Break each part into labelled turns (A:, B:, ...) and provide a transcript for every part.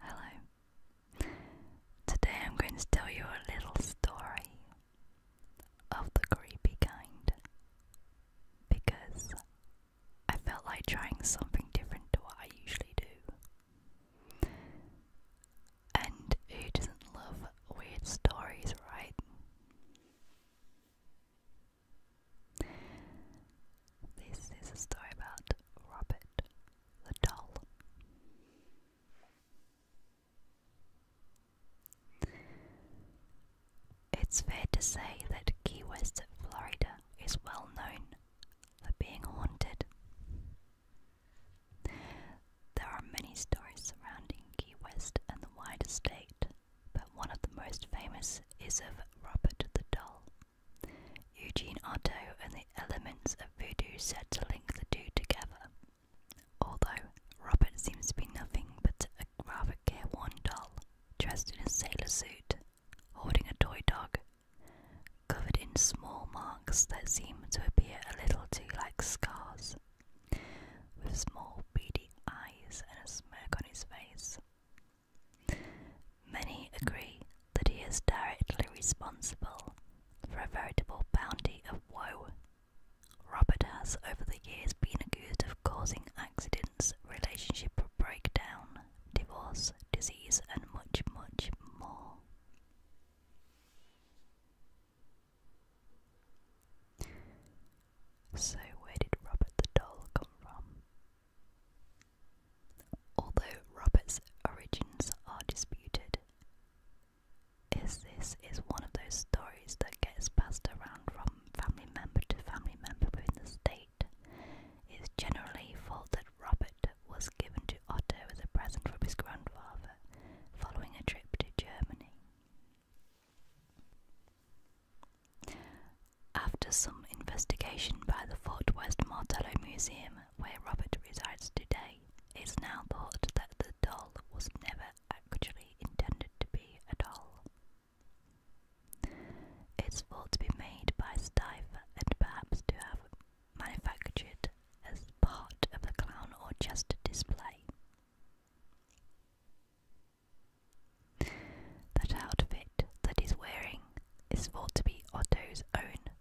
A: Hello. Today I'm going to tell you a little story of the creepy kind because I felt like trying something different to what I usually do. And who doesn't love weird stories, right? This is a story about Robert the doll. It's fair to say that Key West, Florida is well known for being haunted. There are many stories surrounding Key West and the wider state, but one of the most famous is of Robert the Doll. Eugene Otto and the elements of voodoo said to link the two together. Although Robert seems to be nothing but a rather care-worn doll, dressed in a sailor suit, holding a toy dog, covered in small marks that seem to appear a little too like scars with small beady eyes and a smirk on his face. Many agree that he is directly responsible for a veritable bounty of woe. Robert has, over the years, been accused of causing accidents, relationship breakdown, divorce, disease, and much, much more. So, where did Robert the Doll come from? Although Robert's origins are disputed, is this is one of those stories that gets passed around from family member to family member within the state. It is generally thought that Robert was given to Otto as a present from his grandfather, following a trip to Germany. After some investigation by the Fort West Martello Museum, where Robert resides today, it's now thought that the doll was never actually intended to be a doll. It's thought to be made by Stiver and perhaps to have manufactured as part of the clown or jester display. That outfit that he's wearing is thought to be Otto's own,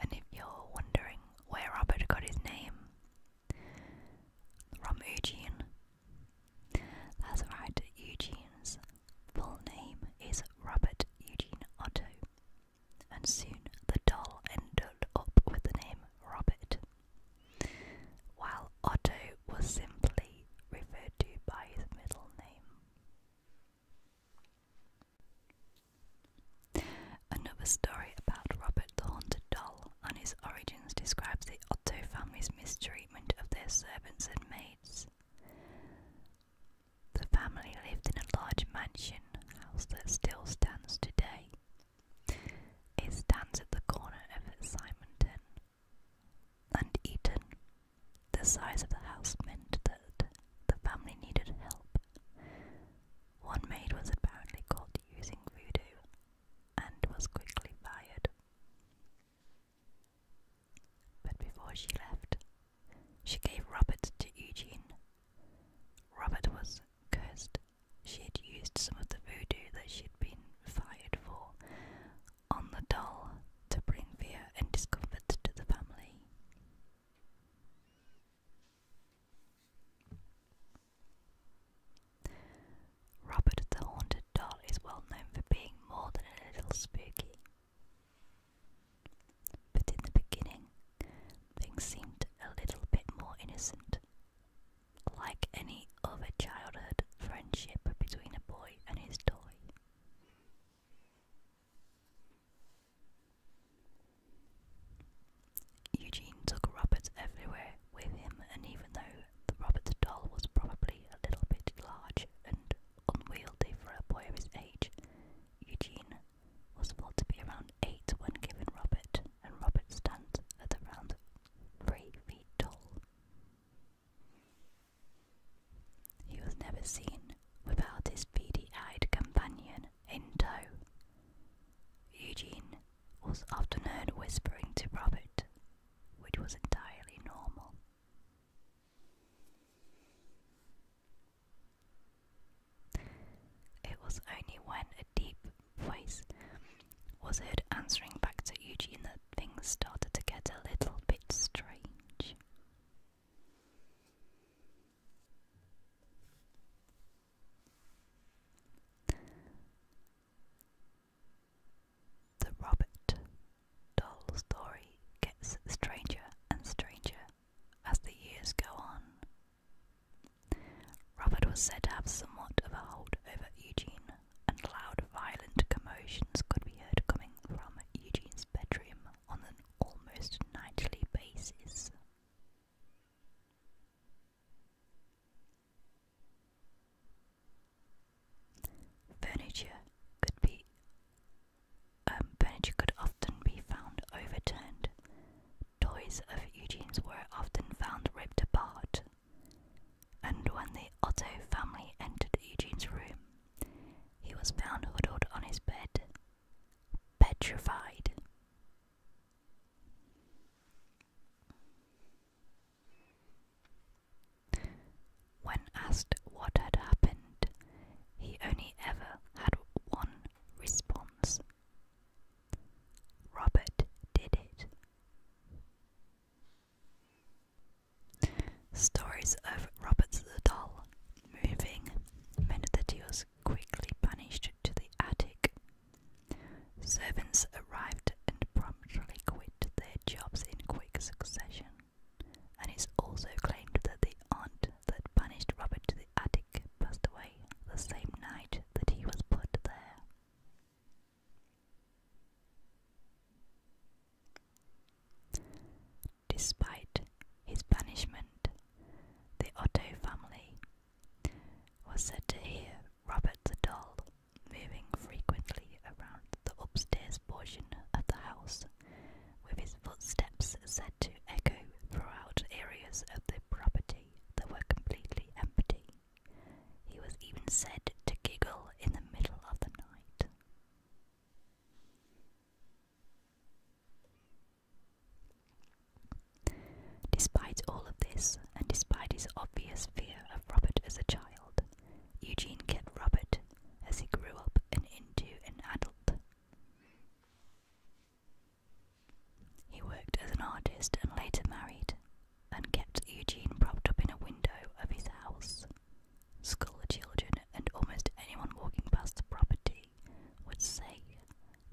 A: and if you're wondering where Robert got his name, from Eugene. That's right, Eugene's full name is Robert Eugene Otto and soon the doll ended up with the name Robert, while Otto was simply referred to by his middle name. Another story about Robert the Haunted Doll and his origins describes the Otto family's mistreatment of their servants and maids. The family lived in a large mansion house that still stands today. It stands at the corner of Simonton and Eaton. The size of the house meant that the family needed help. One maid was apparently caught using voodoo and was quickly fired. But before she left, she gave Robert to Eugene. Robert was cursed. She had used some of the voodoo that she'd been fired for on the doll to bring fear and discomfort to the family. Robert the Haunted Doll is well known for being more than a little spooky but in the beginning things seemed a little bit more innocent. Like any other childhood friendship between a boy and his toy. Eugene took Robert everywhere with him, and even though the Robert doll was probably a little bit large and unwieldy for a boy of his age, Eugene was thought to be around 8 when given Robert, and Robert's stunt at around 3 feet tall. He was never seen without his beady eyed companion in tow. Eugene was often heard whispering to Robert, which was entirely normal. It was only when a deep voice was heard answering back to Eugene that things started to get a little bit strange. The Robert Doll story gets stranger and stranger as the years go on. Robert was said to have somewhat of a hold over Eugene, and loud, violent commotions could be heard coming from Eugene's bedroom on an almost nightly basis. Furniture could be um, furniture could often be found overturned, Toys of Eugene's were often found ripped apart, and when the Otto family entered Eugene's room, he was found huddled on his bed, petrified. When asked what had happened, he only ever had one response Robert did it. Stories of Robert the Doll moving meant that he was quickly banished to the attic. Servants arrived and promptly quit their jobs in quick succession, and it's also claimed that the aunt that banished Robert to the attic passed away the same night that he was put there. Despite his banishment, the Otto family was said to hear Robert the Doll moving frequently around the upstairs portion of the house, with his footsteps said to echo throughout areas of the property that were completely empty. He was even said to giggle in the middle of the night. Despite all of this, and despite his obvious fear of Robert as a child, Eugene kept Robert as he grew up and into an adult. He worked as an artist and later married, and kept Eugene propped up in a window of his house. Schoolchildren and almost anyone walking past the property would say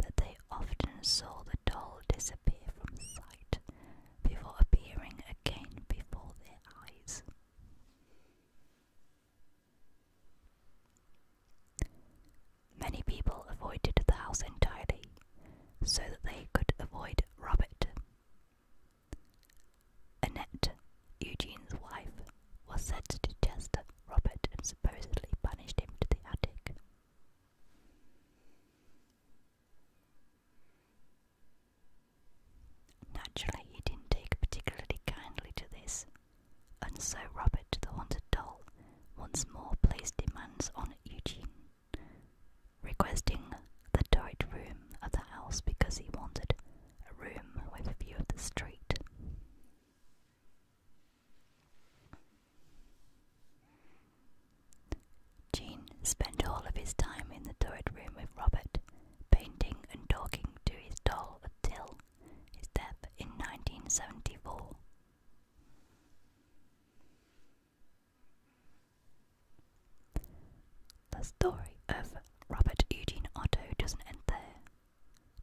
A: that they often saw the doll disappear from sight before appearing again before their eyes. Many people avoided the house entirely so that they could avoid Robert. Annette, Eugene's wife, was said to detest Robert and supposedly punished him to the attic. Naturally, he didn't take particularly kindly to this, and so Robert the Haunted Doll once more placed demands on Eugene, requesting the turret room of the house because he wanted a room with a view of the street. Eugene spent all of his time in the turret room with Robert, painting and talking to his doll until his death in 1974. The story of Robert Eugene Otto doesn't end there.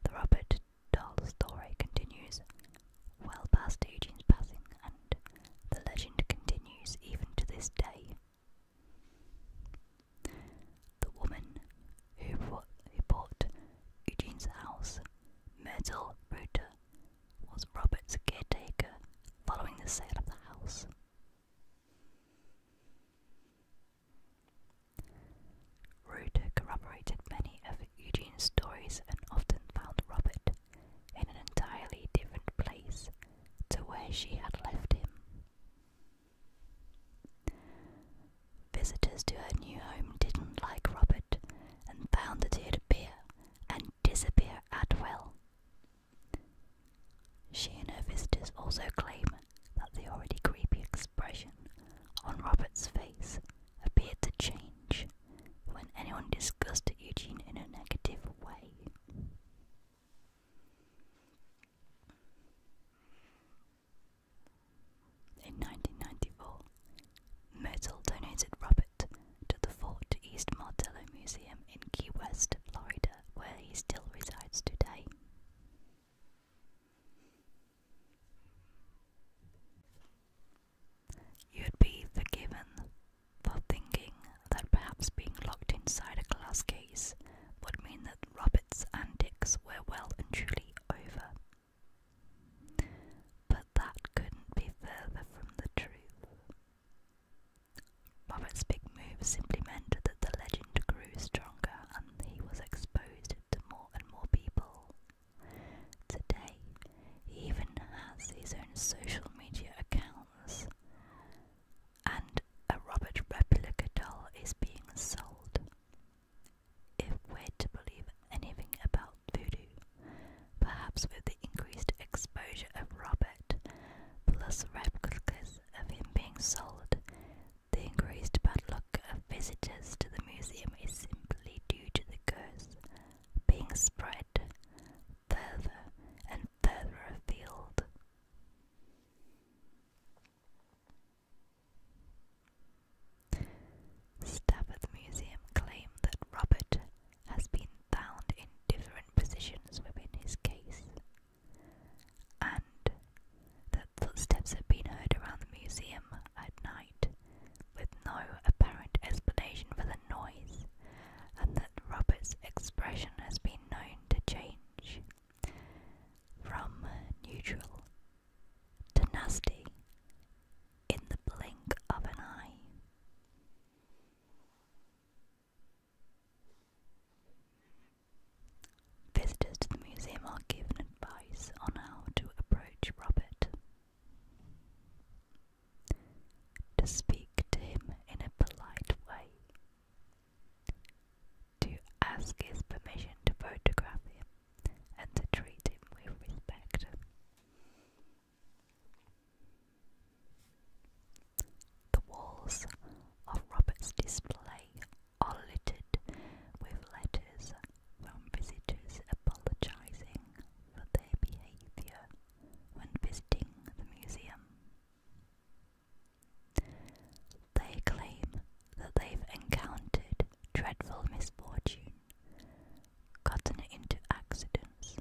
A: The Robert Dahl story continues well past Eugene's passing, and the legend continues even to this day. The woman who bought Eugene's house Myrtle Rooter, was Robert's caretaker following the sale of the house. Rooter corroborated many of Eugene's stories and often found Robert in an entirely different place to where she had left him. Visitors to her new home didn't like Robert and found that he'd appear and disappear at will. She and her visitors also claim that the already creepy expression on Robert's face appeared to change when anyone discussed Eugene in a negative way. In 1994, Myrtle donated Robert to the Fort East Martello Museum in Key West, Florida, where he still resides today. You'd be forgiven for thinking that perhaps being locked inside a glass case would mean that Robert's antics were well and truly over. But that couldn't be further from the truth. Robert's big move simply meant that the legend grew stronger and he was exposed to more and more people. Today, he even has his own social media accounts, and a Robert replica doll is being sold. If we're to believe anything about voodoo, perhaps with the increased exposure of Robert, plus replicas of him being sold, the increased bad luck of visitors to the museum is simply due to the curse being spread further and further afield. Stafford Museum claim that Robert has been found in different positions within his case, and that footsteps have been heard around the museum at night with no apparent explanation for the noise, and that Robert's expression has been known to change from neutral to nasty in the blink of an eye. Visitors to the museum are given advice on how to approach Robert. To speak to him in a polite way. To ask his permission to photograph him and to treat him with respect. The walls of Robert's display are littered with letters from visitors apologising for their behaviour when visiting the museum. They claim that they've encountered dreadful misfortune gotten into accidents,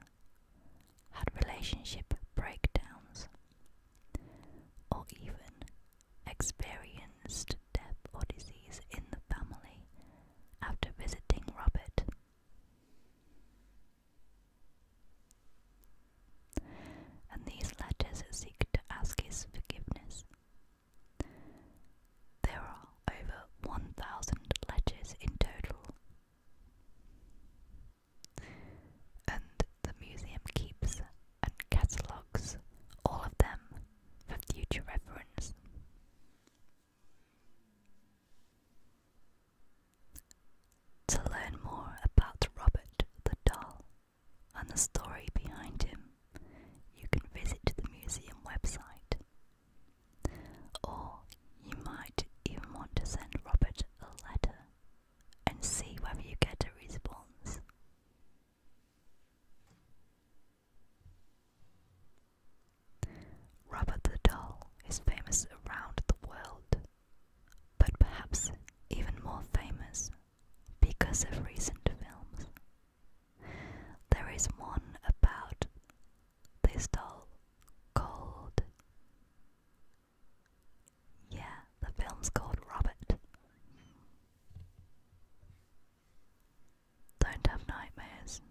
A: had relationship breakdowns, or even experienced death or disease in the family after visiting Robert. And these letters seek to ask his forgiveness there are over 1,000 ledges in total. And the museum keeps and catalogues all of them for future reference. To learn more about Robert the Doll and the story behind him, you can visit the museum website or you might even want to send Robert a letter and see whether you get a response. Robert the Doll is famous around the world, but perhaps even more famous because of recent films there is one about this doll called. Yeah, the film's called Robert. Don't have nightmares.